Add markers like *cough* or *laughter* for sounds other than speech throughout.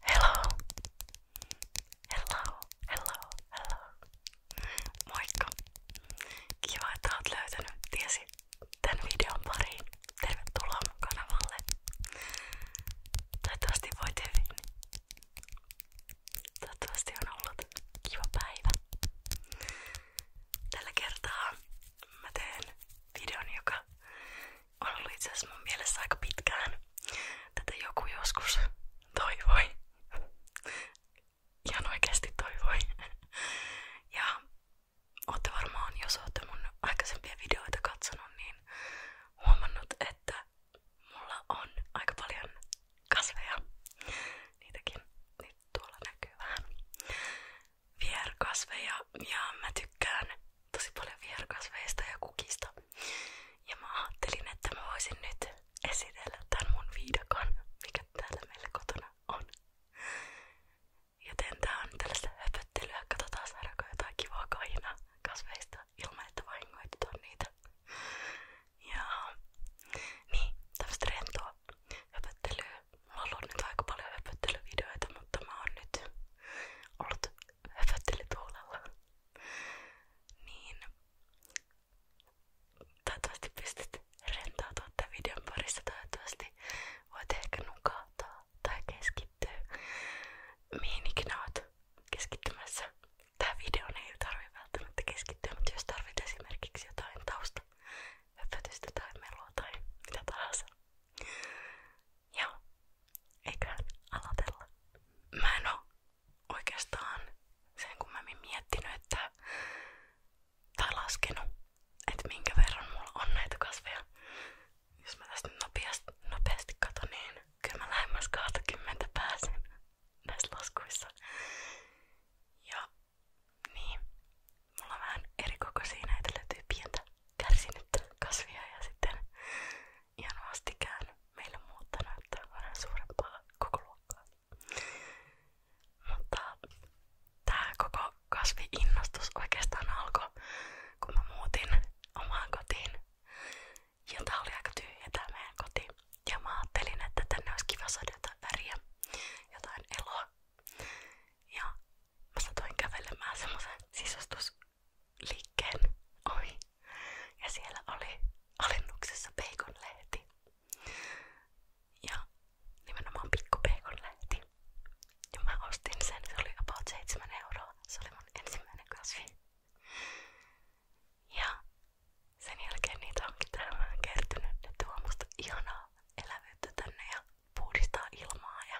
Hello. Hello, hello, hello. Moikka. Kiva, että oot löytänyt tiesi tän videon pariin. Tervetuloa mun kanavalle. Toivottavasti voit hyvin. Toivottavasti on ollut kiva päivä. Tällä kertaa mä teen videon, joka on ollut itse asiassa mun mielessä aika pitkään. Tätä joku joskus toivoi. Ihan oikeasti toivoi. Ja ootte varmaan, jos ootte mun aikaisempia videoita katsonut, niin huomannut, että mulla on aika paljon kasveja. Niitäkin nyt tuolla näkyy vähän vierkasveja ja mä tykkään tosi paljon vierkasveista ja kukista. Ja mä ajattelin, että mä voisin nyt esitellä tämän mun viidakon, mikä täällä meillä kotona on. Joten tää on tällaista höpöttelyä. Katsotaan saadaanko jotain kivaa kainaa kasveista ilman, että vahingoitetaan niitä. Ja niin, tämmöstä rentoa höpöttelyä. Mulla on nyt aika paljon höpöttelyvideoita, mutta mä oon nyt ollut höpöttelytuolella. Niin toivottavasti pystyt rentautua tämän videon parissa. Toivottavasti voit ehkä nukahtaa tai keskittyä mihin ikinä oot keskittymässä. Tää videon ei tarvitse välttämättä keskittyä, mutta jos tarvit esimerkiksi jotain tausta, höpötystä tai melua tai mitä tahansa, Joo, eiköhän aloitella. Mä en oo oikeastaan sen kummemmin miettinyt että, tai laskenut, että minkä verran mulla on näitä kasveja. Jos mä tästä nopeasti, nopeasti katon, niin kyllä mä lähemmäs 20 pääsen näissä laskuissa. Ja niin, Mulla on vähän eri koko siinä, että löytyy pientä kärsinyttä kasvia ja sitten ihan vastikään meillä muutta näyttää vähän suurempaa koko luokkaa. Mutta tää koko kasviinnostus oikeastaan alkoi, kun mä muutin omaan kotiin. Ja tää oli aika tyhjä tää meidän koti. Ja mä ajattelin, että tänne olisi kiva saada jotain väriä, jotain eloa. Ja Mä satuin kävelemään semmosen sisustusliikkeen ohi. Ja siellä oli alennuksessa bacon-lehti. Ja nimenomaan pikku bacon-lehti. Ja mä ostin sen, se oli about 7 euroa. Se oli mun ensimmäinen kasvi. Ja sen jälkeen niitä onkin täällä kertynyt. Ne tuo musta ihanaa elävyyttä tänne ja puhdistaa ilmaa ja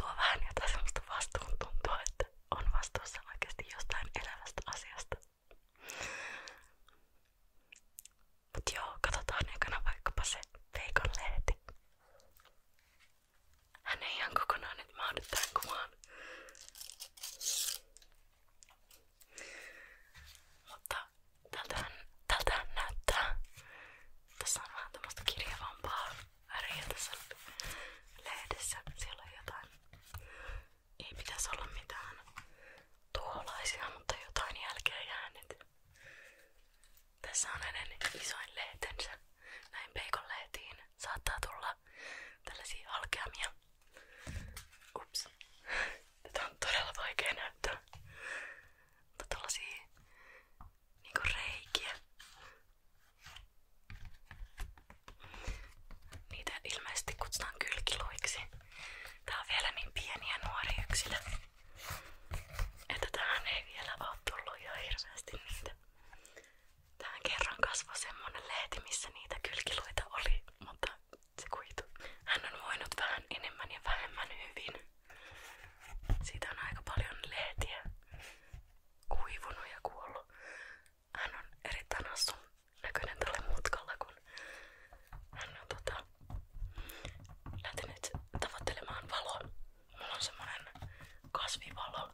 tuo vähän jotain sellaista vastuuntuntoa, että on vastuussa oikeasti jostain elävästä asiasta. Mut joo, katsotaan ekana vaikkapa se Veikon lehti. Hän ei ihan kokonaan nyt mahdu tähän kuvaan. Mutta tältähän, tältähän näyttää tässä on vähän tämmöstä kirjavampaa väriä tässä lehdessä. Siellä on jotain, ei pitäisi olla mitään tuholaisia, mutta jotain jälkeen jäänyt. Tässä on hänen isoin lehtensä. Näin peikon lehtiin saattaa tulla tällaisia halkeamia. Ups. Tätä on todella vaikea näyttää. Mutta tällaisia niinku reikiä. Niitä ilmeisesti kutsutaan kylkiluiksi. Tää on vielä niin pieniä nuoria yksilö, että tähän ei vielä oo tullut jo hirveästi niitä. Tähän kerran kasvoi semmonen lehti, missä niitä kylkiluita oli, mutta se kuitu. Hän on voinut vähän enemmän ja vähemmän hyvin. Siitä on aika paljon lehtiä kuivunut ja kuollut. Hän on erittäin hassun näköinen tällä mutkalla, kun hän on tota, lähtenyt tavoittelemaan valoa. Mulla on semmonen kasvivalo.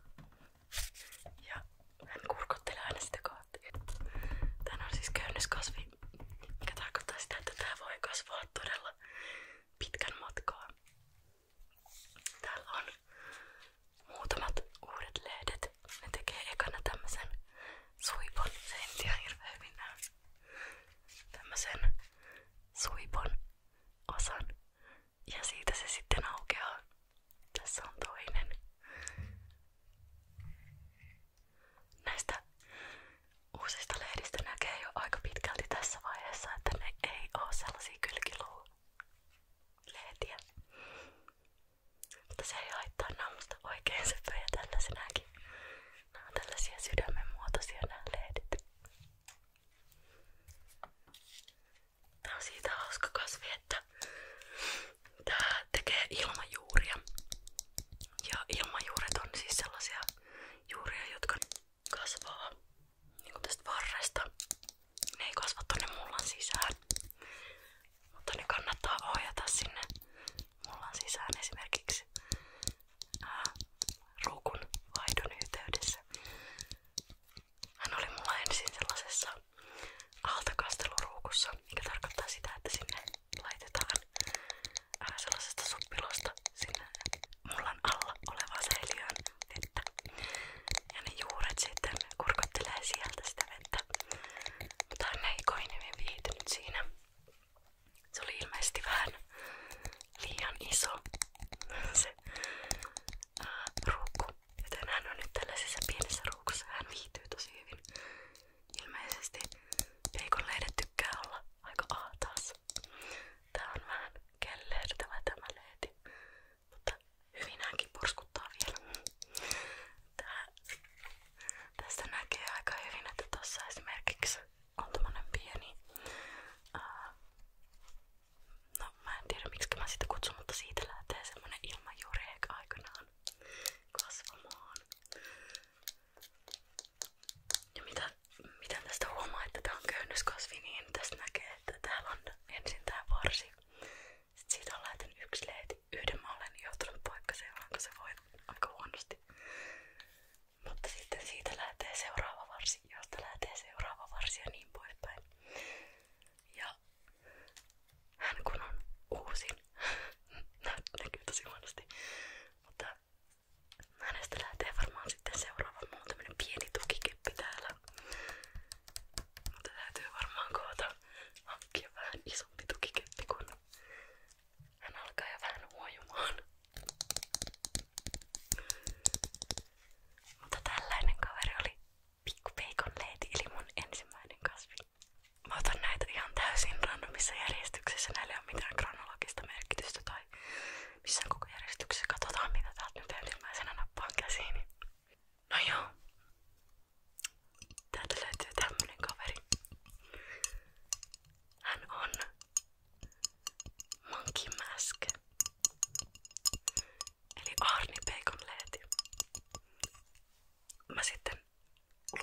Ja hän kurkottelee aina sitä kohti. Tän on siis käynniskasvi, mikä tarkoittaa sitä, että tää voi kasvaa todella pitkän matkaa. Täällä on muutamat uudet ledet. Ne tekee ekana tämmösen suipon. Se ei ihan hirveän hyvin näy. Tämmösen suipon osan. Ja siitä se sitten aukeaa. Tässä on toinen. Näistä uusista lehdistä näkee jo aika pitkälti tässä vaiheessa, että ne ei ole sellaisia sellaisia kylkiluu-lehtiä. Mutta se ei haittaa nammusta oikein söpöjä tällaisenäkin. Nämä on tällaisia sydämenmuotoisia nämä lehdit. Tää on siitä hauska kasvi, että tää tekee ilmajuuria. Ja ilmajuuret on siis sellaisia juuria, jotka kasvaa niinku tästä varresta. Ne ei kasva tonne mullan sisään, mutta ne kannattaa ohjata sinne mullan sisään esimerkiksi ää, ruukun vaihdon yhteydessä. Hän oli mulla ensin sellaisessa altakasteluruukussa, mikä tarkoittaa sitä, että sinne laitetaan ää, sellaisesta suppilosta sinne mullan alla olevaan säiliöön vettä. Ja ne juuret sitten kurkottelee sieltä sitä vettä. Mutta hän ei koinevin viihtynyt siinä. Se oli ilmeisesti vähän liian iso *laughs* se ää, ruukku. Joten hän on nyt tällaisessa pienessä ruukussa. Hän viihtyy tosi hyvin. Ilmeisesti peikonleidet tykkää olla aika ahtaassa. Tää on vähän kellertävä tämä leeti. Mutta hyvinäänkin porskuttaa vielä. Tää, tästä näkee aika hyvin, että tuossa esimerkiksi on tämmönen pieni ää, No mä en tiedä miksi mä sitä kutsun, mutta siitä lähtee semmonen ilmajureek aikanaan kasvamaan. Ja mitä miten tästä huomaa, että tää on köynnöskasvi, niin tästä näkee, että täällä on ensin varsi. Sitten on lähtenyt yksi leiti. Yhden mä olen joutunut poikkaseen, kun se voi aika Mutta sitten siitä lähtee seuraava varsi, josta lähtee seuraava varsi ja niin poispäin. Ja hän kun on *laughs* näkyy tosi huonosti, mutta hänestä lähtee varmaan sitten seuraava muu pieni tukikeppi täällä. Mutta täytyy varmaan koota hankkia vähän isompi tukikeppi, kun hän alkaa jo Mutta tällainen kaveri oli pikku peikon leiti, ensimmäinen kasvi. Mä otan näitä ihan täysin randomissa järjestyksessä, näillä ei mitään kronologista merkitystä tai missään koko järjestyksessä. Katsotaan mitä täältä nyt ensimmäisenä nappaan käsiini. No joo. Täältä löytyy tämmönen kaveri. Hän on Monkey Mask. Eli Arni Bacon Leeti. Mä sitten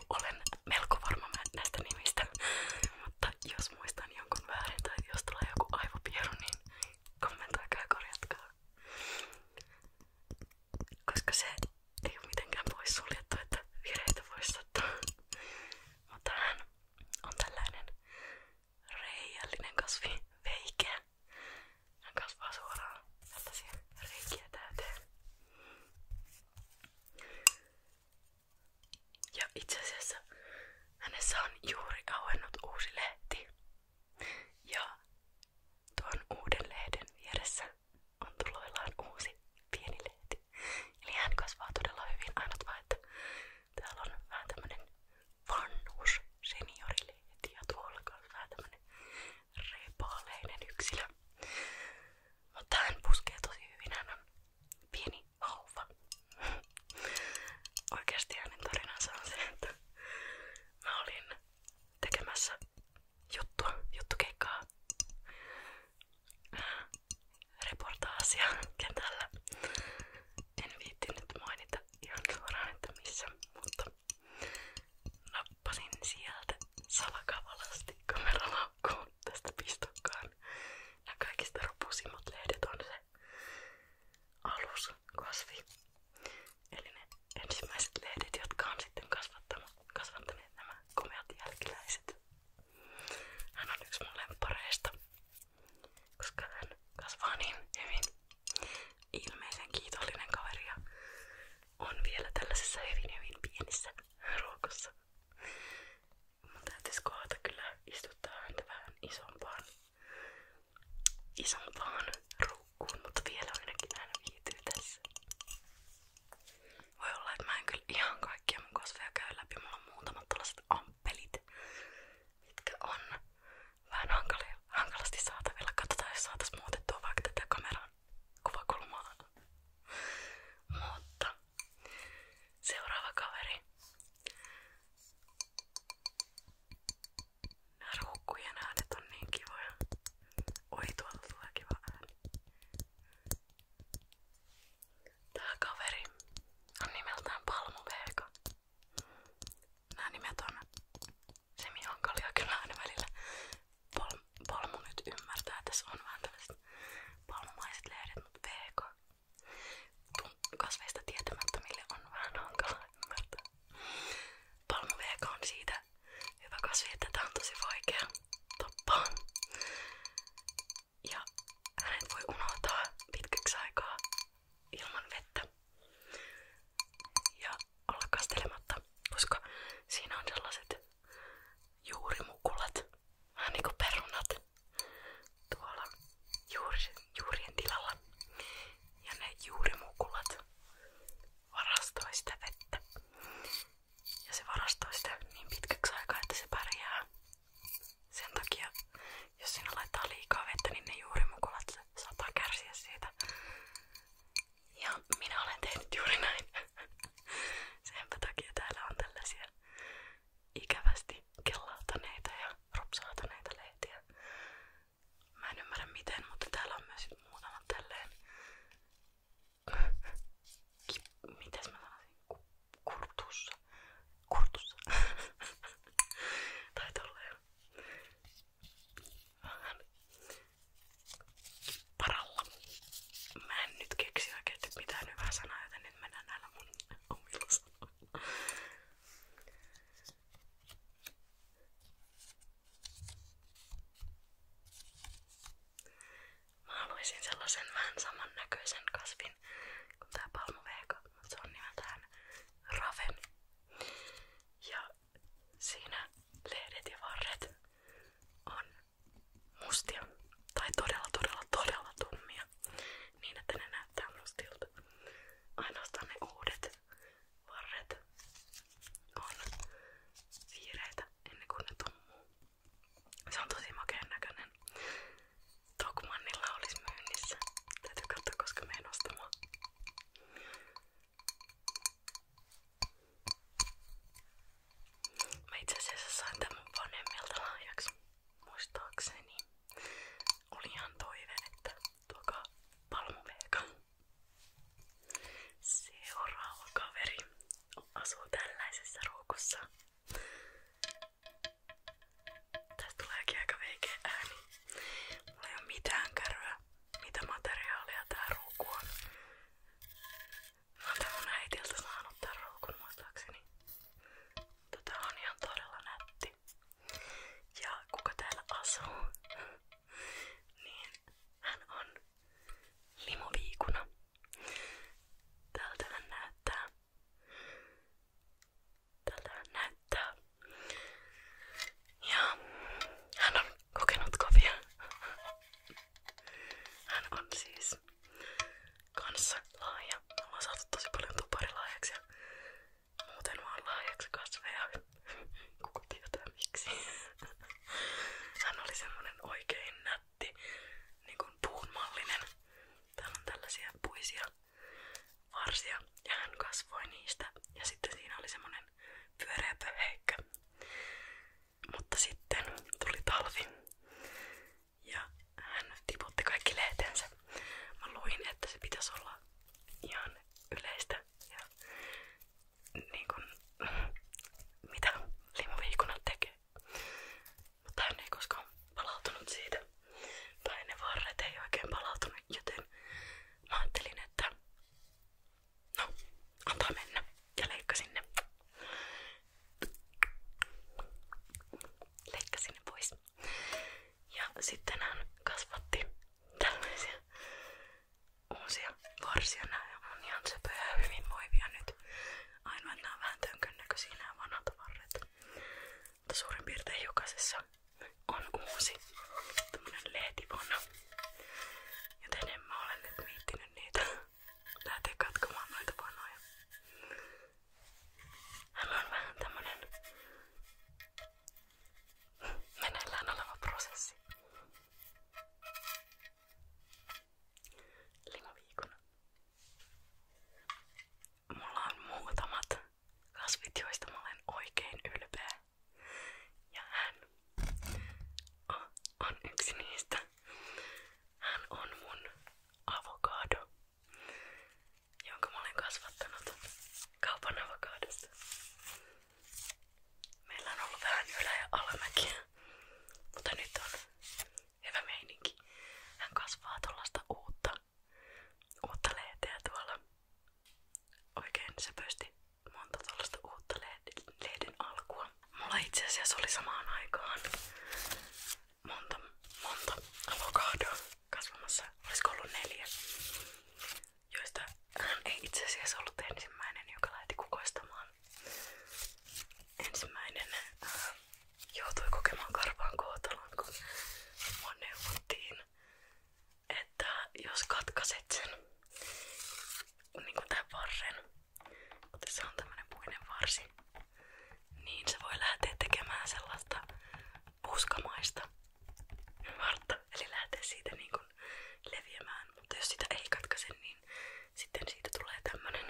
olen melko varma näistä nimistä, *laughs* mutta jos muistan jonkun väärin tai jos tulee joku aivopieru, niin kommentoikaa ja Koska se ei ole mitenkään pois suljettu, virheitä voi sattua. Mutta on tällainen reijällinen kasvi, veikeä. Hän kasvaa suoraan tällaisia reikiä täyteen. Ja itse asiassa hänessä on juuri auennut uusi lehti. Ja tuon uuden lehden vieressä on tuloillaan uusi pieni lehti. Eli hän kasvaa todella hyvin, ainut vaan, että täällä on vähän tämmönen vanhus seniorilehti ja tuolla on vähän tämmönen repaaleinen yksilö. Mutta hän puskee tosi hyvin, hän on pieni vauva Oikeasti hänen on se, että mä olin tekemässä juttua, juttukeikkaa, äh, reportaasia kentällä. En viittinyt mainita ihan suoraan, mutta nappasin sieltä salakavalasti kameralaukkuun tästä pistokkaan. Nämä kaikista ropusimmat lehdet on se aluskasvi. Eli ne ensimmäiset lehdet, jotka on sitten kasvattanut, kasvattaneet nämä komeat jälkiläiset. Hän on yksi mun lempareista, koska hän kasvaa niin hyvin. Ilmeisen kiitollinen kaveri ja on vielä tällaisessa hyvin hyvin pienissä ruokossa. Mun täytyisi kohdata kyllä istuttaa häntä vähän isompaan isompaan ruukkuun, mutta vielä ainakin hän viihtyy tässä. Voi olla, että mä en kyllä ihan kaikkia mun kasveja käy läpi. Mulla on muutamat tällaiset amppelit, mitkä on vähän hankalia, hankalasti saatavilla. Katsotaan, jos saatais muutettua vaikka tätä kameran kuvakulmaa. Mutta seuraava kaveri Ruukkujen äänet on niin kivoja. Oi, tuolla tulee kiva ääni. Tää kaveri on nimeltään Palmuveeka. Nää nimet on semi-hankalia kyllä aina välillä. Palm, palmu nyt ymmärtää, että tässä on vähän tällaiset palmumaiset lehdet, mutta veeka kasveista tietämättömille on vähän hankalaa ymmärtää. Palmuveeka on siitä hyvä kasvi, että tää on tosi vaikea tappaa. Ja hänet voi unohtaa pitkäksi aikaa ilman vettä ja olla kastelematta, koska siinä on sellaiset juurimukulat, vähän niinku perunat tuolla juurien, juurien tilalla. Ja ne juurimukulat varastoi sitä vettä. Ja se varastoi sitä niin pitkäksi aikaa, että se pärjää. Sen takia, jos sinä laittaa liikaa vettä, niin ne juurimukulat saattaa kärsiä siitä. Ja minä olen tehnyt juuri näin. *laughs* Senpä takia täällä on tällaisia ikävästi kellautaneita ja ropsautaneita lehtiä. Mä en ymmärrä miten, mutta täällä on myös muutamat tälleen. Kip, mitäs mä sanoisin? Kurtussa. Kurtussa. *laughs* tai tolleen. Vähän paralla. Mä en nyt keksi oikeesti mitään hyvää sanaa, joten nyt mennään näillä mun omilla sanoilla. Mä haluaisin sellaisen vähän samannäköisen kasvin kuin tää palmuvehko, mutta se on nimeltään raven. Ja siinä lehdet ja varret on mustia tai todella todella todella tummia niin, että ne näyttää mustilta. Ainoastaan ne uudet varret on vihreitä ennen kuin ne tummuu. Se on tosi makeen näköinen. Tokmannilla olisi myynnissä. Täytyy katsoa, koska menen ostamaan. Mä itse asiassa sain tämän vanhemmilta lahjaksi, muistaakseni oli ihan toive, että tuokaa palmuveeka. Seuraava kaveri asuu tällaisessa ruukussa. Tästä tuleekin aika veikeä ääni. Mulla ei oo mitään kärryä, mitä materiaalia tää ruuku on. Mä oon tän mun äitiltä saanut tän ruukun muistaakseni. Tota, Tätä on ihan todella nätti. Antti. Ja kuka täällä asuu, niin hän on limoviikuna. Tältä hän näyttää. Tältä hän näyttää. Ja hän on kokenut kovia. Hän on siis kanssa laaja. Me ollaan saatu tosi paljon tuparilaajaksi ja Muuten mä oon lahjaksi kasveja. Kuka tietää miksi. Hän oli semmonen oikein nätti, niin kuin puunmallinen. on tällaisia puisia varsia ja hän kasvoi Ja sitten siinä oli semmonen pyöreä pöheikkä. Mutta sitten tuli talvi ja hän tiputti kaikki lehtensä. Mä luin, että se pitäisi olla ihan yleistä ja niin kuin, mitä limaviikunat tekee. Mutta no, hän ei koskaan palautunut siitä. Tai ne varret ei oikein palautunut, joten mä ajattelin, että no, antaa mennä ja leikkasin ne. Leikkasin ne pois. Ja sitten hän kasvatti tällaisia uusia varsia. Nämä on ihan söpöjä hyvin hyvinvoivia nyt. Ainoa nämä on vähän tönkön näköisiä nämä vanhat varret. Mutta suurin piirtein jokaisessa on uusi tämmönen lehtivana. Joten en ole nyt miettinyt niitä. Lähtee katkomaan noita vanoja. Hän on vähän tämmönen meneillään oleva prosessi. Limaviikon. Mulla on muutamat kasvit, joista mä olen oikein ylpeä. Ja hän on yksi niistä. Hän on mun avokado, jonka mä olen kasvattanut kaupan avokadosta. Meillä on ollut vähän ylä- ja alamäkiä, mutta nyt on hyvä meininki. Hän kasvaa tuollaista uutta, uutta lehteä tuolla. Oikein se pösti monta tuollaista uutta lehden, lehden alkua. Mulla itse asiassa oli samaan aikaan monta, monta avokadoa kasvamassa. Olisiko ollut neljä? joista itse asiassa ollut ensimmäinen, joka lähti kukoistamaan. Ensimmäinen äh, joutui kokemaan karvaan kun mua että jos katkaset sen niin kuin tämän varren, mutta on tämmönen puinen varsi, niin se voi lähteä tekemään sellaista puskamaista vartta, eli lähtee siitä niin kuin leviämään. Mutta jos sitä ei katkaise, niin sitten siitä tulee tämmönen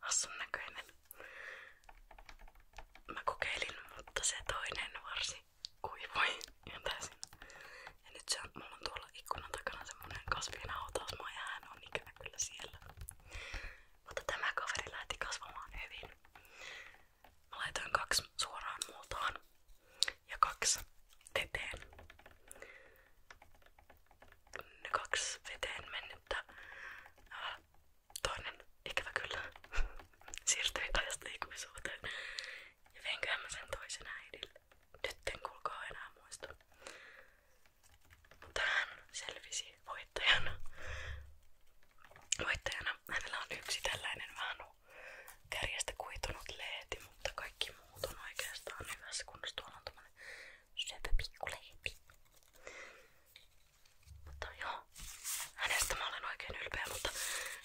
hassun näköinen. Mä kokeilin, mutta se toinen varsi kuivui ihan täysin. Ja nyt se on, mulla on tuolla ikkunan takana semmonen kasvinhautausmaa ja hän on ikävä kyllä siellä. Mutta tämä kaveri lähti kasvamaan hyvin. Mä laitoin kaksi suoraan multaan ja kaksi veteen. Ne kaksi veteen mennyttä. Äh, toinen ikävä kyllä *laughs* siirtyi ajasta liikkumisuuteen. Ja veinköhän mä sen toisen äidille. Nyt en kuulkaa enää muista. Mutta hän selvisi voittajana. Voittajana hänellä on yksi tällainen vähän kärjestä kuitunut lehti, mutta kaikki muut on oikeastaan hyvässä kunnossa. Tuolla on tommonen söpö pikkulehti. Mutta joo, hänestä mä olen oikein ylpeä, mutta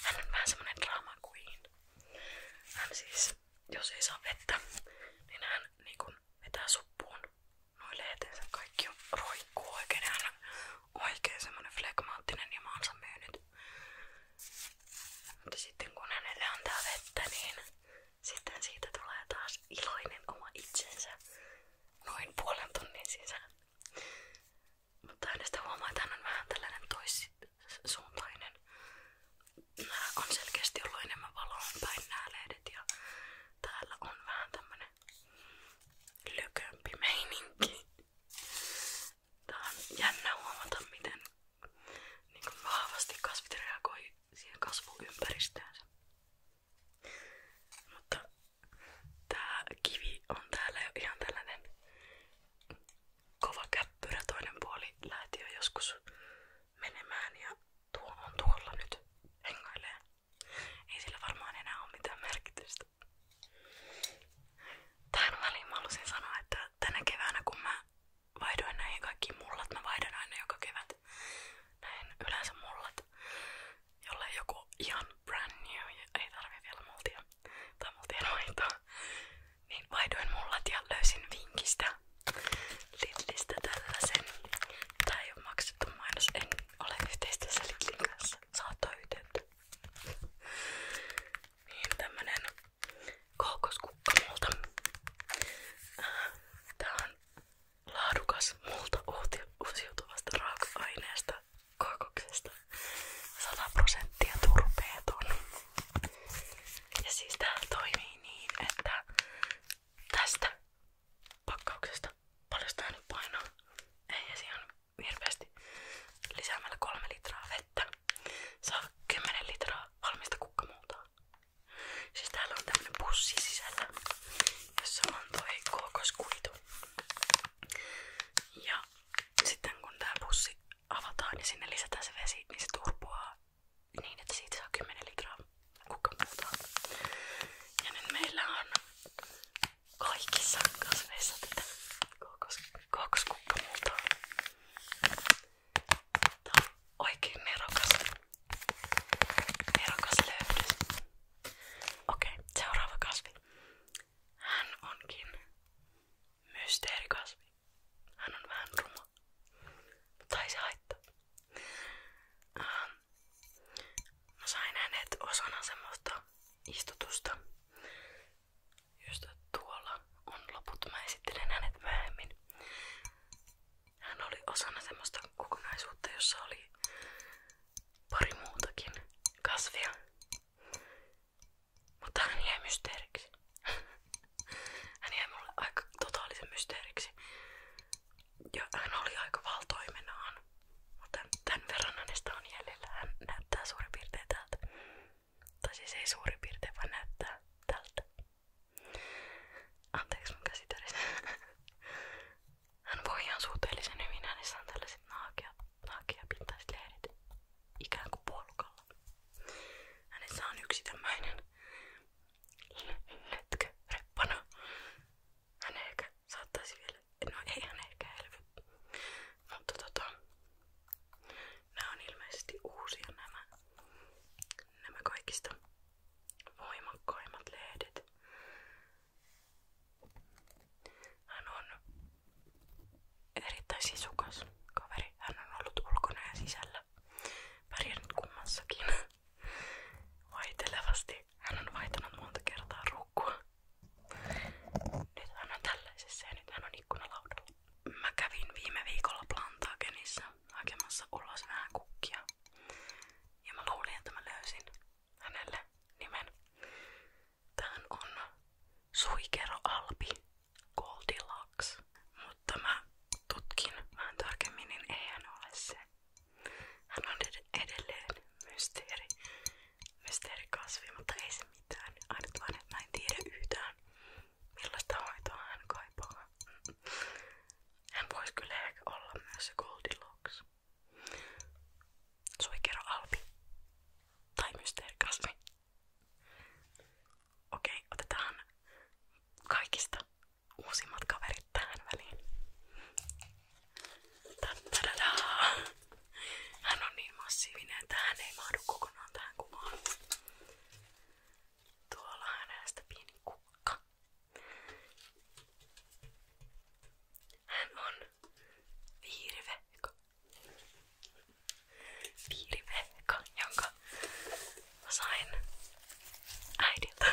hän on vähän semmonen drama queen. Hän siis, jos ei saa vettä, niin hän niinku vetää suppuun noin lehteensä kaikki on roikkuu oikein. Hän on oikein semmonen flegmaattinen ja mä oon myynyt nyt. Mutta sitten kun hänelle antaa vettä, niin sitten siitä tulee taas iloinen oma itsensä noin puolen tunnin sisään. Mutta hänestä huomaa, että hän on vähän tällainen toissuuntainen. Nämä on selkeästi ollut enemmän valoon päin nämä lehdet ja täällä on vähän tämmönen lökömpi meininki. Tää on miten niin kuin vahvasti kasvit reagoi siihen kasvuympäristöönsä. Mutta tää kivi on täällä jo ihan tällainen Toinen puoli lähti jo menemään ja tuo on tuolla nyt hengailee. Ei sillä varmaan enää ole mitään merkitystä. Tähän väliin mä halusin sanoa, että tänä keväänä kun mä vaihdoin näihin kaikkiin mullat, mä vaihdan aina joka kevät näin yleensä mullat, jolle joku ihan brand new, ei tarvi vielä multia tai multien hoitoa, niin vaihdoin mullat ja löysin vinkistä Lidlistä tällaisen. Tää ei oo maksettu mainos, en ole yhteistyössä Lidlin kanssa, saattoi yhteyttä. Niin tämmönen Kookoskukka multa. Tää on laadukas multa uusiutuvasta raaka-aineesta kookoksesta. 100 prosenttia turpeeton. Ja siis tää toimii niin, että tästä pakkauksesta paljon sitä nyt painaa. Ei se ihan hirveästi lisäämällä 3 litraa vettä saa 10 litraa valmista kukkamuutaa. Siis täällä on tämmönen pussi sisällä, jossa on toi kookoskuitu. Ja sitten kun tää pussi avataan ja niin sinne lisätään se vesi, niin se turpoaa niin, että siitä saa 10 litraa kukkamuutaa. Ja nyt meillä on kaikissa kasveissa tätä kookos, kookoskuttamuuta. Tää on oikein merokas. Merokas löydys. Okei, okay, seuraava kasvi. Hän onkin mysteerikasvi. Hän on vähän ruma. Mutta ei se haittaa. Ähm, mä sain hänet osana semmoista istutusta, josta tuolla on loput. Mä esittelen hänet myöhemmin. Hän oli osana semmoista kokonaisuutta, jossa oli pari muutakin kasvia. Mutta hän jäi mysteeriksi. *laughs* Hän jäi mulle aika totaalisen mysteeriksi. Ja hän oli aika valtoimenaan. Mutta tämän verran hänestä on jäljellä. Hän näyttää suurin piirtein täältä. Tai siis ei suurin piirtein vaan näyttää tältä. Anteeksi mun käsi *laughs* Hän voi ihan suhteellisen hyvin, hänessä on tällaiset naakeapintaiset lehdet ikään kuin polkalla. Hänessä on yksi tämmöinen letkö reppana. Hän ehkä saattaisi vielä, no ei hän ehkä elvy, mutta tota, Nämä on ilmeisesti uusia nämä, nämä kaikista voimakkaimmat lehdet. Hän on erittäin sisukas kaveri. Hän on ollut ulkona ja sisällä. Pärjännyt kummassakin. Vaitelevasti. Hän on vaihtanut monta kertaa rukkua. Nyt hän on tällaisessa ja nyt hän on ikkunalaudalla mä kävin viime viikolla Plantagenissa hakemassa ulos vähän kukkia. Ja mä luulin, että mä löysin hänelle nimen. Tähän on Suikero Albi Goldilocks. Mutta mä tutkin vähän tarkemmin, niin ei hän ole se. Hän on ed edelleen mysteeri, mysteerikasvi, mutta ei se mitään. Ainut vaan, että mä en tiedä yhtään millaista hoitoa hän kaipaa. Hän voisi kyllä ehkä olla myös se Goldilocks. Suikero Albi. Tai mysteerikasvi. Okei, otetaan kaikista uusimmat kaverit tähän väliin. Tadadaa! Hän on niin massiivinen, että hän ei mahdu kokonaan tähän kuvaan. Tuolla hänestä pieni kukka. Hän on viirivehka. Viirivehka, jonka mä sain äidiltä.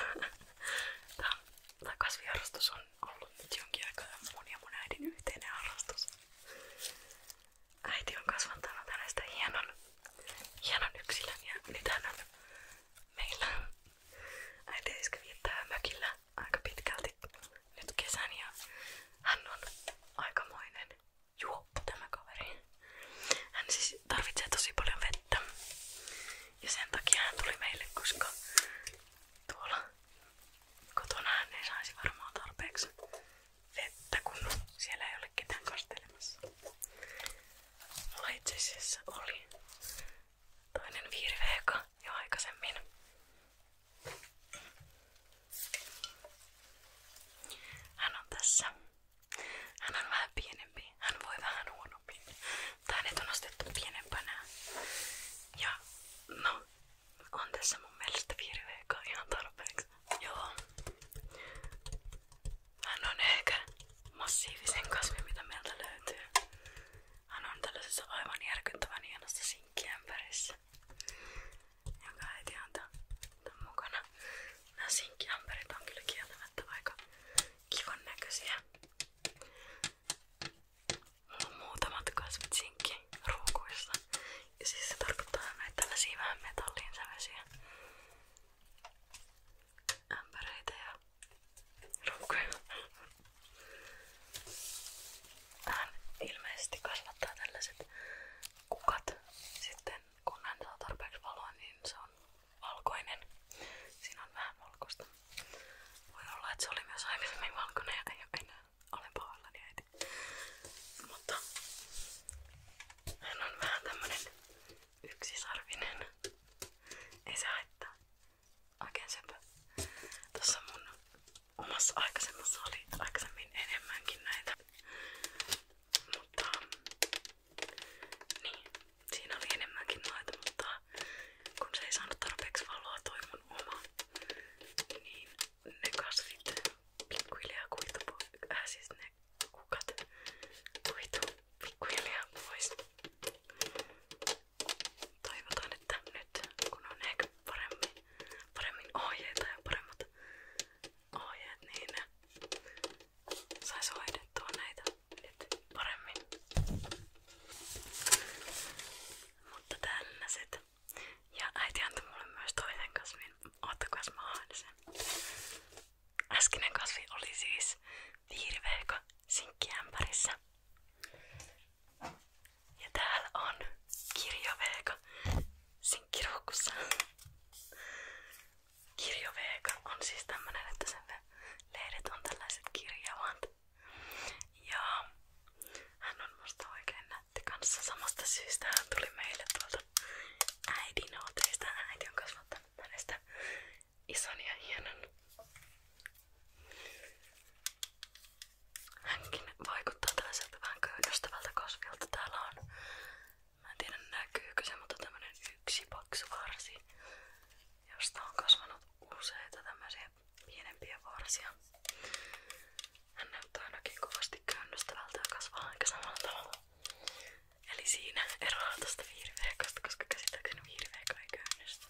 Tämä kasviharrastus on ollut nyt jonkin aikaa mun ja mun äidin yhteinen harrastus äiti on kasvattanut hänestä hienon, hienon yksilön ja nyt hän on meillä. Äiti iskä viettää mökillä aika pitkälti nyt kesän ja hän on aikamoinen juoppo tämä kaveri. Hän siis tarvitsee tosi paljon vettä ja sen takia hän tuli meille, koska tuolla kotona hän varmaan tarpeeksi vettä, siellä ei ole ketään kastelemassa. Mulla itse oli toinen viirveeka jo aikaisemmin. Hän on tässä. Hän on vähän pienempi. Hän voi vähän huonommin. Tai hänet on Ja no, on tässä mun mielestä viirveeka ihan tarpeeksi. Joo. Hän on ehkä massiivisen kasvi, mitä meiltä löytyy. Hän on tällaisessa aivan järkyttävän hienossa sinkkiämpärissä, jonka äiti on tämän mukana. Nämä sinkkiämpärit on kyllä kieltämättä aika kivan näköisiä. Mulla on muutamat kasvit sinkkiruukuissa, ja siis se tarkoittaa näitä tällaisia vähän metallin säväisiä ämpäreitä ja ruukkuja. Hän ilmeisesti kasvattaa tällaiset kukat. Sitten kun hän saa tarpeeksi valoa, niin se on valkoinen. Siinä on vähän valkoista. Voi olla, että se oli myös aikaisemmin valkoinen ja ei ole enää. Olen pahoillani niin äiti. Mutta hän vähän tämmönen yksisarvinen. Ei se haittaa. Oikein mun omassa aikaisemmassa oli aikaisemmin enemmänkin näitä. Mutta niin, siinä oli enemmänkin noita, mutta kun se ei saanut tarpeeksi valoa toi oma, niin ne kasvit pikkuhiljaa kuitupuu, äh siis ne kukat kuitu pikkuhiljaa pois. Toivotaan, että nyt kun on ehkä paremmin, paremmin ohjeita ja paremmat ohjeet, niin saisi hoidettua näitä nyt Mutta tällaiset. Ja äiti myös toisen kasvin Oottakas mä haen sen. Äskinen kasvi oli siis Ja täällä on kirjoveeka sinkkiruukussa. Kirjoveeka on siis tämmönen, että sen lehdet Ja hän on musta oikein kanssa. Samasta syystä hän tuli meille tuolta äidin oteista. Äiti on kasvattanut hänestä ison ja hienon. Hänkin vaikuttaa tällaiselta vähän köydöstävältä kasvilta. Täällä on, mä en tiedä näkyykö se, mutta tämmönen yksi paksu varsi, josta on kasvanut useita tämmöisiä pienempiä varsia. Hän näyttää ainakin kovasti könnöstävältä ja kasvaa aika samalla tavalla. Eli siinä eroaa tosta viiriveekosta, koska käsittääkseni viiriveekko ei köynnistä.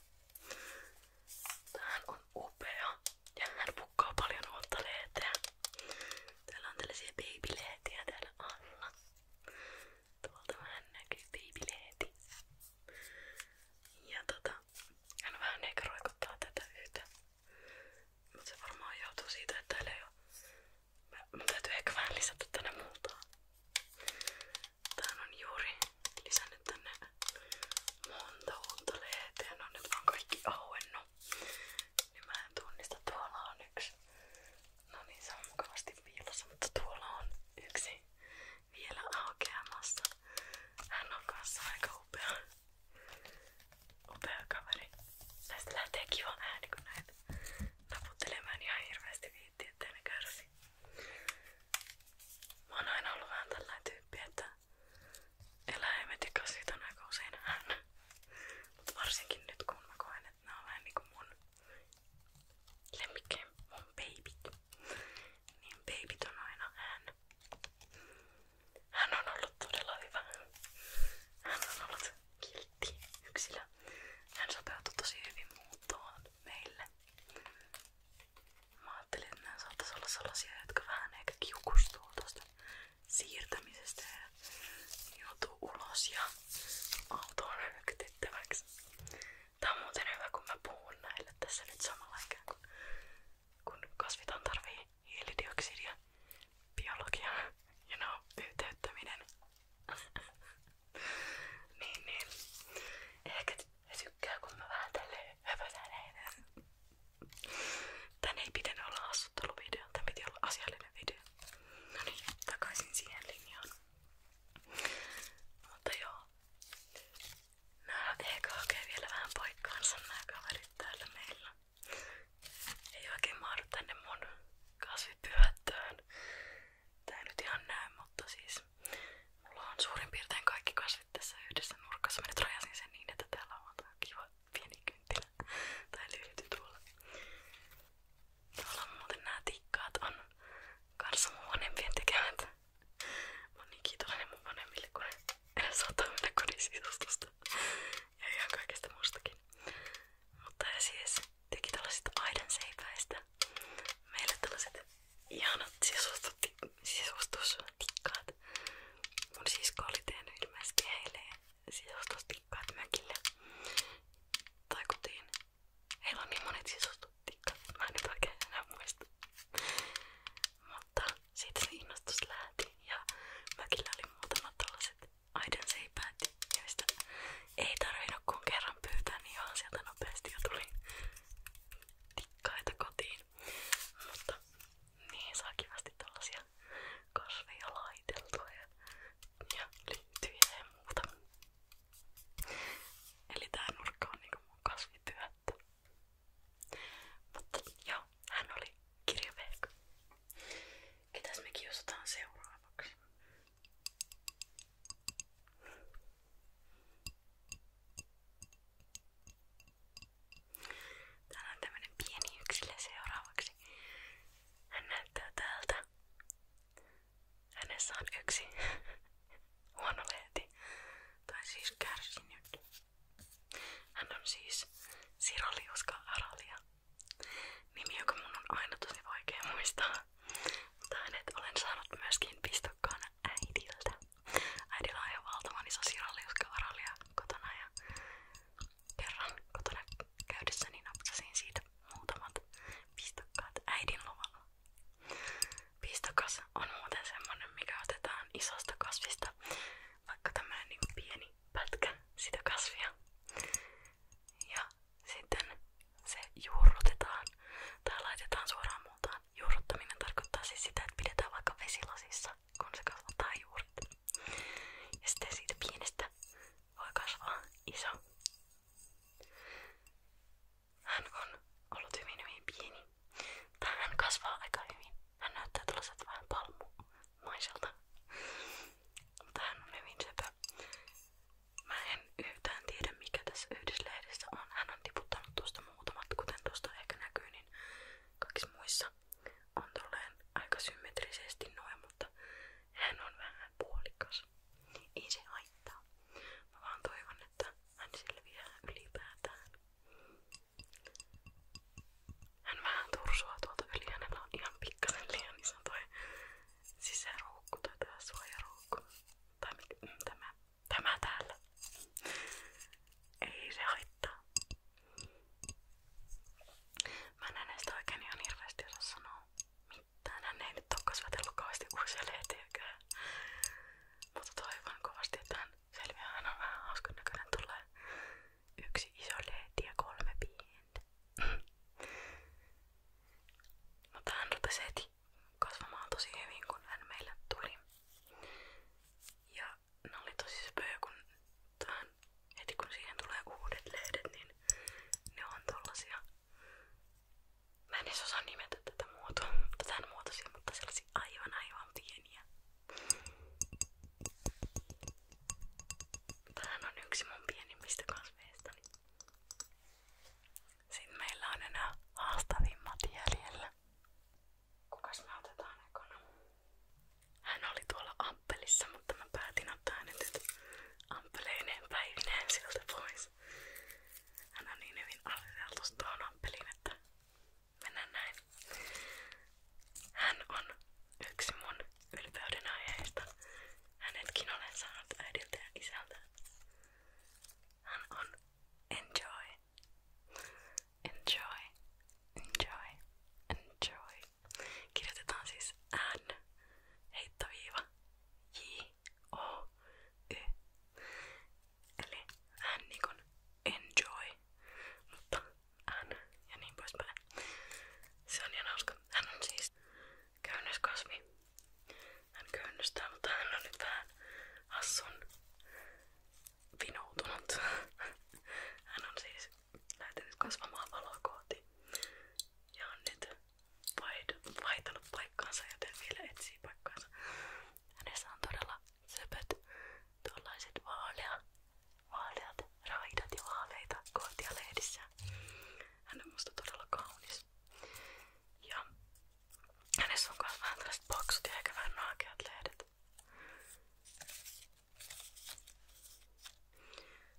Tämähän on upea ja hän pukkaa paljon uutta lehteä. Täällä on tällaisia baby-lehtiä täällä alla. Tuolta vähän näkyy baby-lehti. Ja tota, hän vähän ehkä roikottaa tätä yhtä. Mutta se varmaan johtuu siitä, että täällä ei ole Mä, mun täytyy ehkä vähän lisätä tänne multaa. Tän on juuri lisännyt tänne monta uutta lehteä. No nyt vaan kaikki auennut. Niin mä en tunnista. Tuolla on yksi. No niin, se on mukavasti piilossa, mutta tuolla on yksi vielä aukeamassa. Hän on kanssa aika upea on pääkaveri. Tästä lähtee kiva ääni, kun näitä naputtelemaan ihan hirveästi viitti, ettei ne kärsi. Mä oon aina ollut vähän tällainen tyyppi, että eläimet ja kasit on aika usein hän. Mut varsinkin nyt kun mä koen, että nää on vähän niinku mun lemmikki, mun babyt. Niin babyt on aina hän. Hän on ollut todella hyvä. Hän on ollut kiltti yksilö. Hän sopeutui tosi hyvin muuttoon meille. Mä ajattelin, että nämä saattaisi olla sellaisia, jotka vähän ehkä kiukustuu tuosta siirtämisestä ja joutuu ulos ja autoon röktettäväksi. Tää on muuten hyvä, kun mä puhun näille tässä nyt samalla ikään kuin kun kasvithan tarvii hiilidioksidia, biologiaa ja you know, yhteyttäminen *laughs* niin, niin. Ehkä he tykkää, kun mä vähän tälleen höpötäilen. Tän ei pitänyt olla hassutteluvideo, tän piti olla asiallinen video. No niin, takaisin siihen linjaan. Mutta joo. Nää ehkä hakee vielä vähän paikkaansa nää kaverit täällä meillä. Ei oikein mahdu tänne mun kasvipyhättöön. Tää ihan näy, mutta siis mulla on suurin piirtein kaikki kasvit tässä yhdessä nurkassa. Mä nyt sen niin, että täällä on tää kiva pieni kynttilä tai lyhyt tuolla. Tuolla muuten on kanssa mun vanhempien tekemät. Mä oon niin kiitollinen mun vanhemmille, kun ne ottaa mennä kodin sisustusta. Ja ihan kaikesta muustakin. Mutta ja siis teki tällaisista aidanseipäistä meille tällaiset ihanat sisustustikkaat. Mun sisko oli tehnyt ilmeisesti heille sisustustikkaat mökille tai kotiin. Heillä on niin monet sisustustikkaat, että mä en nyt oikein enää muista. Mutta siitä se innostus lähti ja mökillä oli muutamat tällaiset aidanseipäät, joista ei tarvinnut kun kerran pyytää, niin ihan sieltä nopeasti jo tuli tikkaita kotiin. Mutta niihin saa kivasti tällaisia kasveja laiteltua ja, ja lintyjä ja muuta. Eli tää nurkka on niinku mun kasvipyöttö. Mutta joo, hän oli kirjaveikko. Ketäs me kiusataan seuraavaksi? Täällä on tämmönen pieni yksilö seuraavaksi. Hän täältä. Hänessä yksi *laughs* huono leeti. Tai siis kärsinyt. Hän on siis aralia. Nimi, joka mun on aina tosi vaikea muistaa. Mutta hänet olen saanut myöskin pistokkaana äidiltä. Äidillä on ihan valtavan iso siralliuskavaralia kotona ja kerran kotona käydessäni niin napsasin siitä muutamat pistokkaat äidin luvalla. Pistokas on muuten semmonen, mikä otetaan isosta kasvista, vaikka tämmönen niin pieni pätkä sitä kasvia. Ja sitten se juurrutetaan tai laitetaan suoraan muutaan. Juurruttaminen tarkoittaa siis sitä, että pidetään vaikka vesilasissa, kun se kasvattaa juuret. Ja sitten siitä pienestä voi kasvaa iso. Hän on ollut hyvin hyvin pieni. Tai hän kasvaa aika hyvin. Hän näyttää tuollaiset vähän palmumaiselta. Mutta hän on hyvin söpö hyvä. Mä en yhtään tiedä mikä tässä yhdyslehdessä on. Hän on tiputtanut tuosta muutamat, kuten tuosta ehkä näkyy, niin kaikissa muissa on tolleen aika symmetrisesti noin, mutta hän on vähän puolikas. Ei se haittaa. Mä vaan toivon, että hän selviää ylipäätään. Hän vähän tursua tuolta yli, hänellä on ihan pikkasen liian iso toi sisäruukku tai tää suojaruukku. Tai mikä, mm, tämä, tämä täällä. Ei se haittaa. Mä en hänestä oikein ihan hirveästi osaa sanoa mitään. Hän ei nyt oo kasvatellut kauheasti uusia lehtiäkään. Mutta toivon kovasti, että hän selviää. Hän on vähän hauskan näköinen. Tulee yksi iso lehti ja kolme pientä. Mutta no, hän rupesi heti kasvamaan tosi hyvin, kun hän meille tuli. Ja ne oli tosi spöö, kun tähän, heti kun siihen tulee uudet lehdet, niin ne on tollasia. Mä en edes osaa nimetä tätä muotoa, tämän muotoisia, mutta sellaisia aivan aivan pieniä. Tähän on yksi mun pienimmistä kasveistani. Niin sitten meillä on enää haastavimmat jäljellä. Kukas me otetaan ekana? Hän oli tuolla amppelissa, mutta mä päätin ottaa hänet nyt amppeleineen päivineen siltä pois. Hän on niin hyvin aseteltu tuohon amppeliin, että mennään näin. Hän on yksi mun ylpeyden aiheesta. Hänetkin olen saanut äidiltä ja isältä. Hän on enjoy. Enjoy. Enjoy. Enjoy. Kirjoitetaan siis N heittoviiva J O Y. Eli hän niin kuin enjoy, mutta N ja niin poispäin. Se on ihan hauska. Hän hän köynnystää, hän on nyt vähän hassun vinoutunut. Hän on siis lähtenyt kasvamaan valoa kohti on nyt vaihtanut paikkaansa, joten vielä etsii paikkaansa. Hänessä on todella söpöt tuollaiset vaalea, vaaleat raidat ja vaaleita kohtia lehdissä. Hän on musta todella kaunis. Ja hänessä on myös vähän tällaiset paksut ja ehkä vähän naakeat lehdet.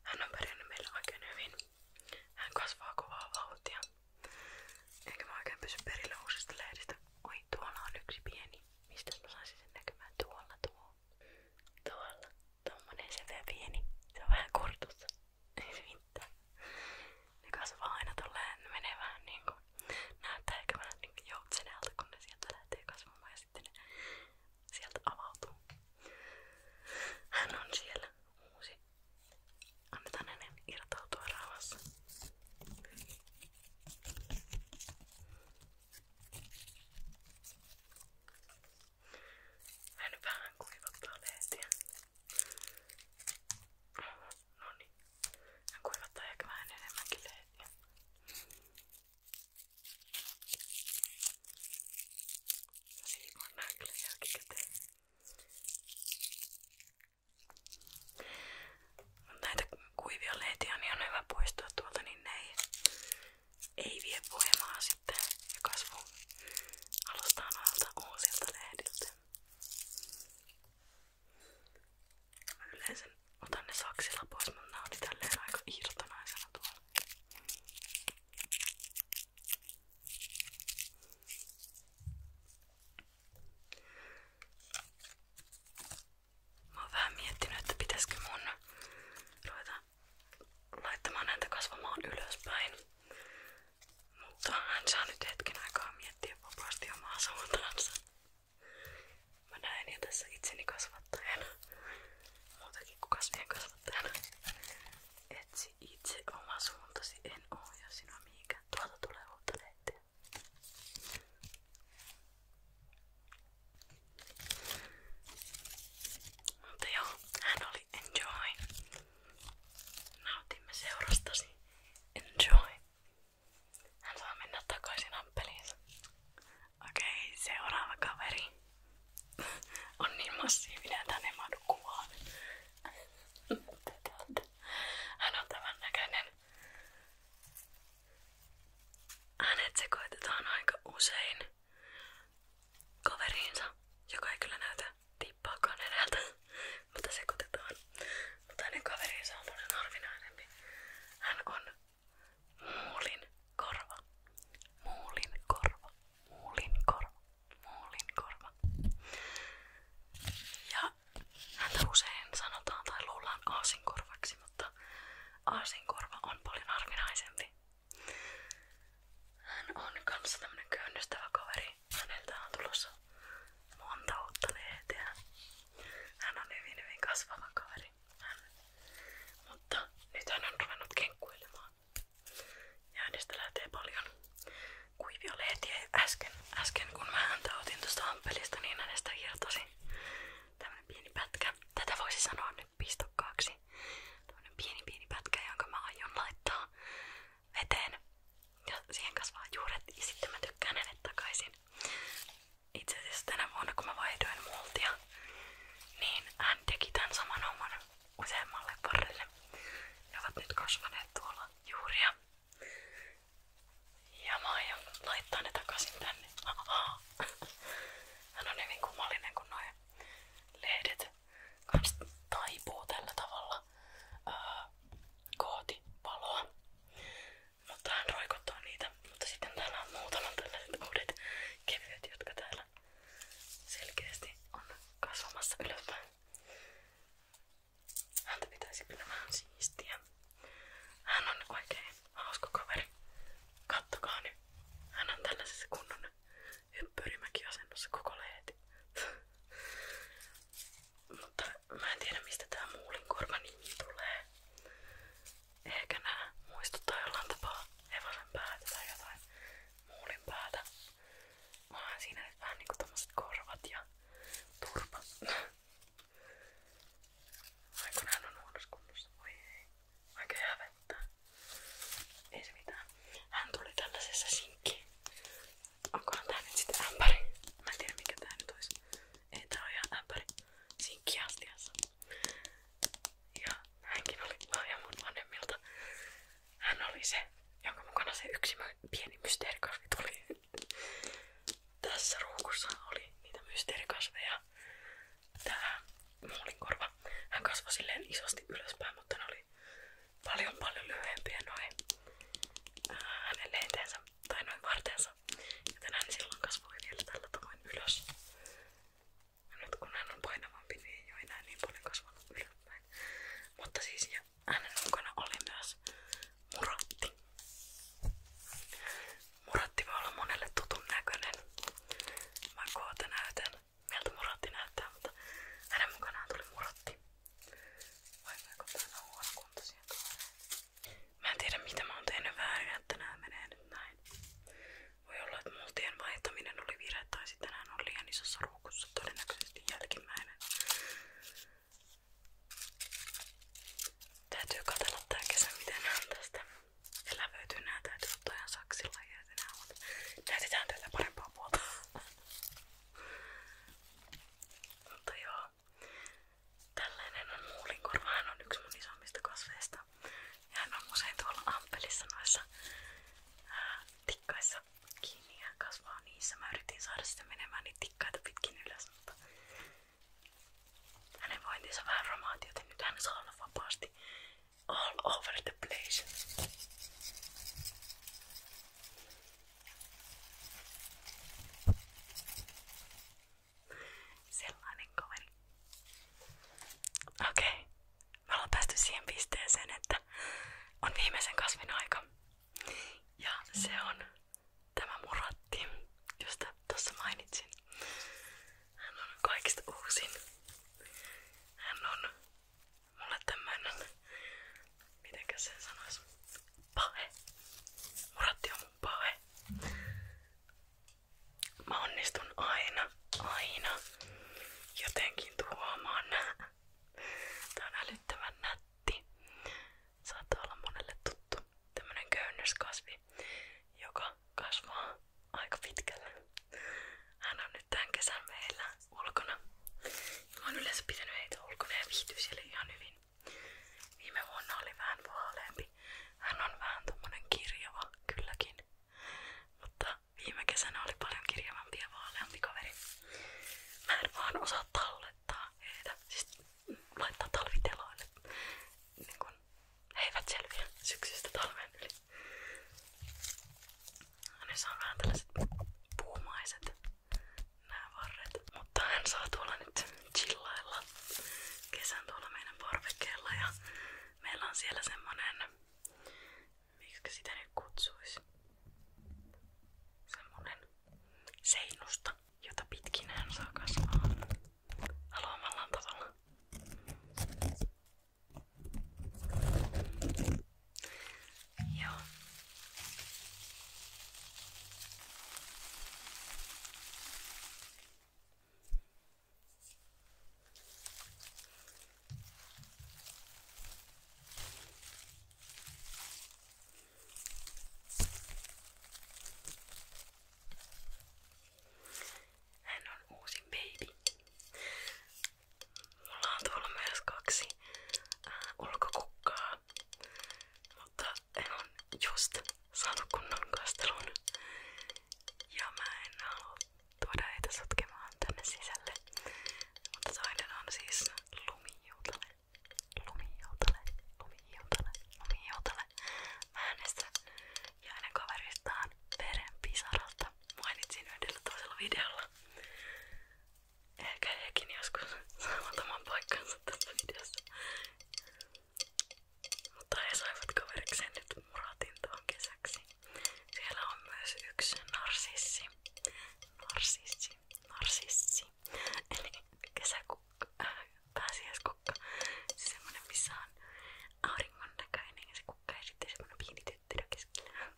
Hän on pärjännyt meillä oikein hyvin. Hän kasvaa kovaa vauhtia. Eikä mä oikein pysy perillä uusista lehdistä. Oi, tuolla on yksi pieni. Mistä mä saisin sen näkymään? Tuolla tuo. Tuolla. Tommonen se vielä pieni. Se on vähän kurtussa. *laughs* Ei se mitään. Ne kasvaa aina tolleen, ne menee vähän niinku, näyttää ehkä vähän niinku joutsenelta, kun ne sieltä lähtee kasvamaan ja sitten ne sieltä avautuu. Hän on siellä uusi. Annetaan hänen irtautua rauhassa. Hän vähän kuivattaa lehtiä. No niin. Hän kuivattaa ehkä vähän enemmänkin lehtiä. No niin, mä näen kyllä jälkikäteen. Näitä kuivia lehtiä niin on hyvä poistaa tuolta, niin ne ei, ei vie voimaa sitten ja kasvu Alustaa noilta uusilta lehdiltä. Mä yleensä otan ne saksilla pois, mutta nää oli tälleen aika irtonaisena tuolla. Mä oon vähän miettinyt, että pitäisikö mun ruveta laittamaan näitä kasvamaan ylöspäin. Mutta hän saa nyt hetken aikaa miettiä vapaasti omaa suuntaansa. Mä näen jo tässä itseni kasvattajana. Muutakin kuin kasvien kasvattajana. Etsi itse oma suuntasi, en ohjaa sinua mihinkään. Tuolta tulee uutta lehteä. Mutta joo, hän oli enjoy. Nautimme seurastasi. Enjoy. Hän saa mennä takaisin Okei, seuraava kaveri. On niin massiivinen, että hän ei mahdu kuvaan. Hän on tämän näköinen. usein kaveriinsa, joka ei kyllä näytä tippaakaan edeltä, mutta sekoitetaan. Mutta hänen kaverinsa on paljon harvinaisempi. Hän on muulin korva. Muulin korva. Muulin korva. Muulin korva. Ja häntä usein sanotaan tai luullaan aasinkorvaksi, mutta aasinkorva on paljon harvinaisempi. Hän on kanssa tämmönen käynnistävä kaveri niin häneltä on tulossa monta uutta lehteä. Hän on hyvin hyvin kasvava kaveri. Hän. Mutta nyt hän on ruvennut kenkkuilemaan. Ja hänestä lähtee paljon kuivia lehtiä. Äsken, äsken kun mä häntä otin tuosta ampelista, niin hänestä irtosi tämmönen pieni pätkä. Tätä voisi sanoa nyt pistokkaaksi. Tämmönen pieni pieni pätkä, jonka mä aion laittaa veteen ja siihen kasvaa juuret ja sitten mä tykkään hänet takaisin. Itse asiassa tänä vuonna kun mä vaihdoin multia, niin hän teki tämän saman homman useammalle parille. Ne ovat nyt kasvaneet tuolla juuria. Ja mä aion laittaa ne takaisin tänne. *laughs* Hän on hyvin niin kummallinen kun noi lehdet kans taipuu tällä tavalla ää, kohti valoa. Mutta no, hän roikottaa niitä. Mutta sitten täällä on muutama tällaiset uudet kevyet, jotka täällä selkeästi on kasvamassa ylöspäin. Häntä pitäisi kyllä vähän siistiä. Hän on oikein hauska kaveri. Kattokaa nyt. Hän on tällaisessa kunnon hyppyrimäkiasennossa koko leeti. Mutta mä en tiedä mistä tää muulinkorva nimi tulee. Ehkä nää muistuttaa jollain tapaa hevosen päätä tai jotain muulin päätä. Onhan siinä nyt vähän niinku tommoset korvat ja turpa. Vaikka nää on huonossa kunnossa, voi ei. Oikein hävettää. Ei se mitään. Hän tuli tällaisessa sinkki Onkohan tää nyt sitten ämpäri? Mä en tiedä mikä tää nyt olisi. Ei tää oo ihan ämpäri. Sinkkiastiassa. Ja hänkin oli lahja mun vanhemmilta. Hän oli se, jonka mukana se yksi pieni mysteerikasvi tuli. Tässä ruukussa oli niitä mysteerikasveja. Tää muulinkorva. Hän kasvoi silleen isosti ylöspäin, mutta ne oli paljon paljon lyhyempiä noin hänen leiteensä tai noin vartensa. Joten hän silloin kasvoi vielä tällä tavoin ylös. Ja nyt kun hän on painavampi, niin ei ole enää niin paljon kasvanut ylöspäin. Mutta siis ja hänen mukana oli myös muratti. Muratti voi olla monelle tutun näköinen. Mä koota näytän, miltä muratti näyttää, mutta hänen mukanaan tuli muratti. Voidaanko täällä on huonokuntoisia tuoreita? Mä en tiedä mitä mä oon tehnyt väärin, että nää menee nyt näin. Voi olla, että multien vaihtaminen oli virhe tai sitten nää on liian isossa ruukussa, todennäköisesti jälkimmäinen. Täytyy katsella tää kesä, miten nää on tästä elävöityy. Nää täytyy ottaa ihan saksilla ja nää on. Näytetään tätä parempaa puolta. Mutta joo, tällainen on muulinkorva. Hän on yksi mun isommista kasveista. Ja hän on usein tuolla ampelissa noissa ää, tikkaissa kiinni ja kasvaa niissä. Mä yritin saada sitä menemään niitä tikkaita pitkin ylös, mutta hänen vointinsa vähän romaati, joten nyt hän saa olla vapaasti all over the place. Sellainen kaveri. Okei. Okay. Me ollaan päästy siihen pisteeseen, että on viimeisen kasvin aika. Ja se on tämä muratti, josta tuossa mainitsin. Hän on kaikista uusin. Hän on mulle tämmönen, mitenkä sen sanois, pahe. on mun pahe. onnistun aina, aina jotenkin tuhoamaan nää. Tää on Saattaa olla monelle tuttu tämmönen köynnöskasvi, joka kasvaa aika pitkälle. Hän on nyt tän kesän meillä ulkona. Ja mä oon yleensä pitänyt heitä ulkona ja viihtyy siellä ihan hyvin. Viime vuonna oli vähän vaaleampi. Hän on vähän tommonen kirjava kylläkin. Mutta viime kesänä oli paljon kirjavampi ja vaaleampi kaveri. Mä en vaan osaa tallettaa heitä. Siis laittaa talviteloon. Niin kun he eivät selviä syksystä talven yli. Hänessä on vähän tällaiset puumaiset nämä varret. Mutta hän saa tuolla nyt chillailla kesän tuolla meidän parvekkeella ja meillä on siellä semmonen, miksi sitä nyt kutsuisi, semmonen seinusta, jota pitkin hän saa kasvaa haluamallaan tavalla. Joo. Hän on uusi baby. Mulla on tuolla myös kaksi äh, ulkokukkaa videota. Mutta en on just saanut kunnon kastelun. Ja mä en halua tuoda heitä sotkemaan tänne sisälle. Mutta toinen on siis lumijoutale. Lumijoutale, lumijoutale, lumijoutale. Mä hänestä ja hänen kaveristaan veren pisaralta mainitsin yhdellä toisella videolla. Ehkä hekin joskus saavat oman paikkansa tässä videossa. Mutta he saivat kaverikseen nyt muratin tuon kesäksi. Siellä on myös yksi narsissi. Narsissi. Narsissi. Eli kesäkukka. Äh, pääsiäiskukka. Se semmonen missä on auringon näköinen ja se kukka ja sitten semmonen pieni tyttö keskellä.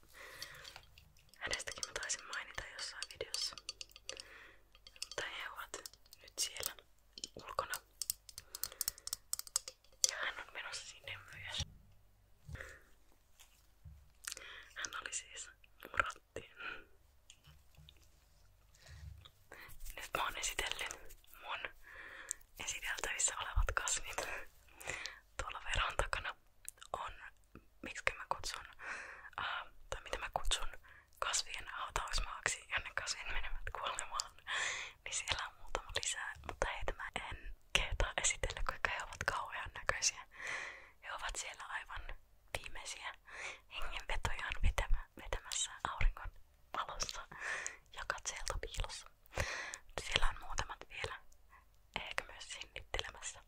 Hänestäkin mä taisin mainita jossain videossa. Mutta he ovat nyt siellä ulkona. Ja hän on menossa sinne myös. Hän oli siis muratti. Nyt mä oon esitellyt mun esiteltävissä olevat kasvit. Tuolla veron takana on miksi mä kutsun, äh, tai mitä mä kutsun kasvien hautausmaaksi, jonne kasvit menevät kuolemaan, niin siellä on muutama lisää, mutta heitä mä en kehtaa esitellä, koska he ovat kauhean näköisiä. He ovat siellä aivan viimeisiä hengenvetojaan vetämä, vetämässä aurinkon valossa ja katseelta piilossa. Siellä on muutamat vielä, ehkä myös sinnittelemässä.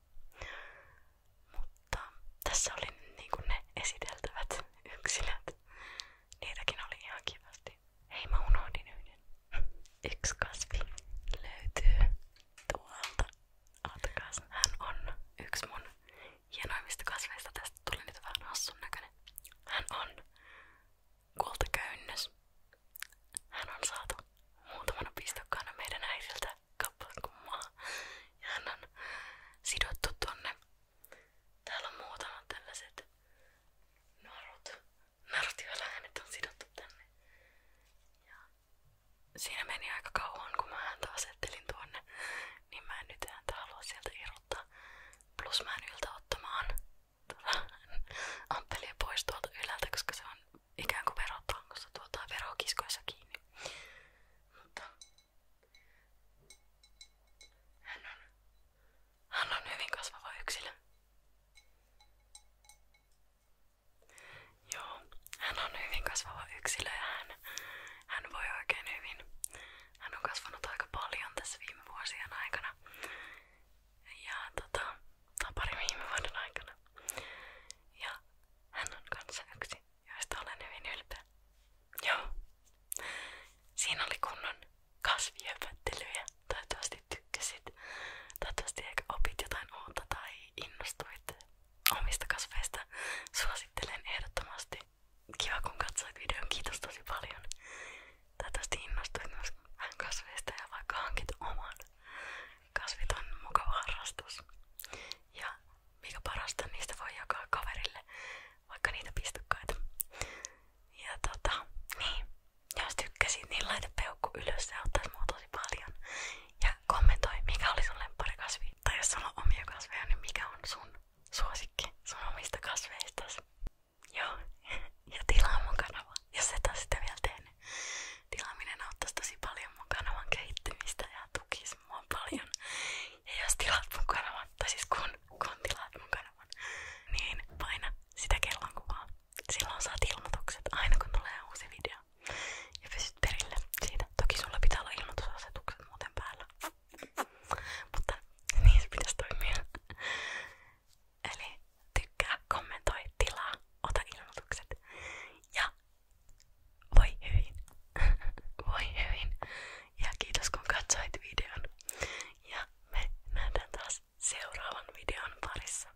Mutta tässä oli niinku ne esiteltävät yksilöt. Niitäkin oli ihan kivasti. Hei löytyy tuolta. Atkas. Hän on yksi mun hienoimmista kasveista. Tästä tuli nyt Hän on kultaköynnös. Hän on saatu muutamana pistokkaana meidän äidiltä tätä kappaleen, kun mä ja hän on sidottu tonne. Täällä on muutama tällaiset narut, narut joilla hänet on sidottu tänne. Ja siinä meni aika kauan, kun mä häntä asettelin tuonne, niin mä en nyt häntä halua sieltä irrottaa. Plus mä en yltä ottamaan ampelia pois tuolta ylältä, koska se on ikään kuin verotangossa tuota verokiskoissa kiinni hän on, hän on hyvin kasvava yksilö. Joo, hän on hyvin kasvava yksilö hän, hän voi oikein hyvin. Hän on kasvanut aika paljon tässä viime vuosien aikana. Ja tota, tai parin viime vuoden aikana. Ja hän on kanssa yksi joista olen hyvin ylpeä. Joo. Siinä oli kunnon kasviöpöttelyjä. Toivottavasti tykkäsit. Toivottavasti ehkä opit jotain uutta tai innostuit omista kasveista. Suosittelen ehdottomasti. Kiva kun katsoit videon. Kiitos tosi paljon. Toivottavasti innostuit myös kasveista ja vaikka hankit oman. Kasvit on mukava harrastus. Ja mikä parasta, niistä voi jakaa kaverille, vaikka niitä pistokkaita. Ja tota, niin, jos tykkäsit, niin laita peukku ylös, se auttaisi mua tosi paljon. Ja kommentoi, mikä oli sun lemppari kasvi. Tai jos sulla on omia kasveja, niin mikä on sun suosikki sun omista kasveistas. Joo, *laughs* ja tilaa mun kanava, jos et ole sitä vielä tehnyt. Tilaaminen auttaisi tosi paljon mun kanavan kehittymistä ja tukisi mua mua paljon. Ja jos tilaat mun kanavan, tai siis kun, kun tilaat mun kanavan, niin paina sitä kellonkuvaa. Silloin saat ilmoitukset aina kun tulee uusi video. Ja pysyt perille siitä. Toki sulla pitää olla ilmoitusasetukset muuten päällä. Mutta niin se pitäisi toimia. Eli tykkää, kommentoi, tilaa, ota ilmoitukset. Ja voi hyvin. *laughs* Voi hyvin. Ja kiitos kun katsoit videon. Ja me nähdään taas seuraavan videon parissa.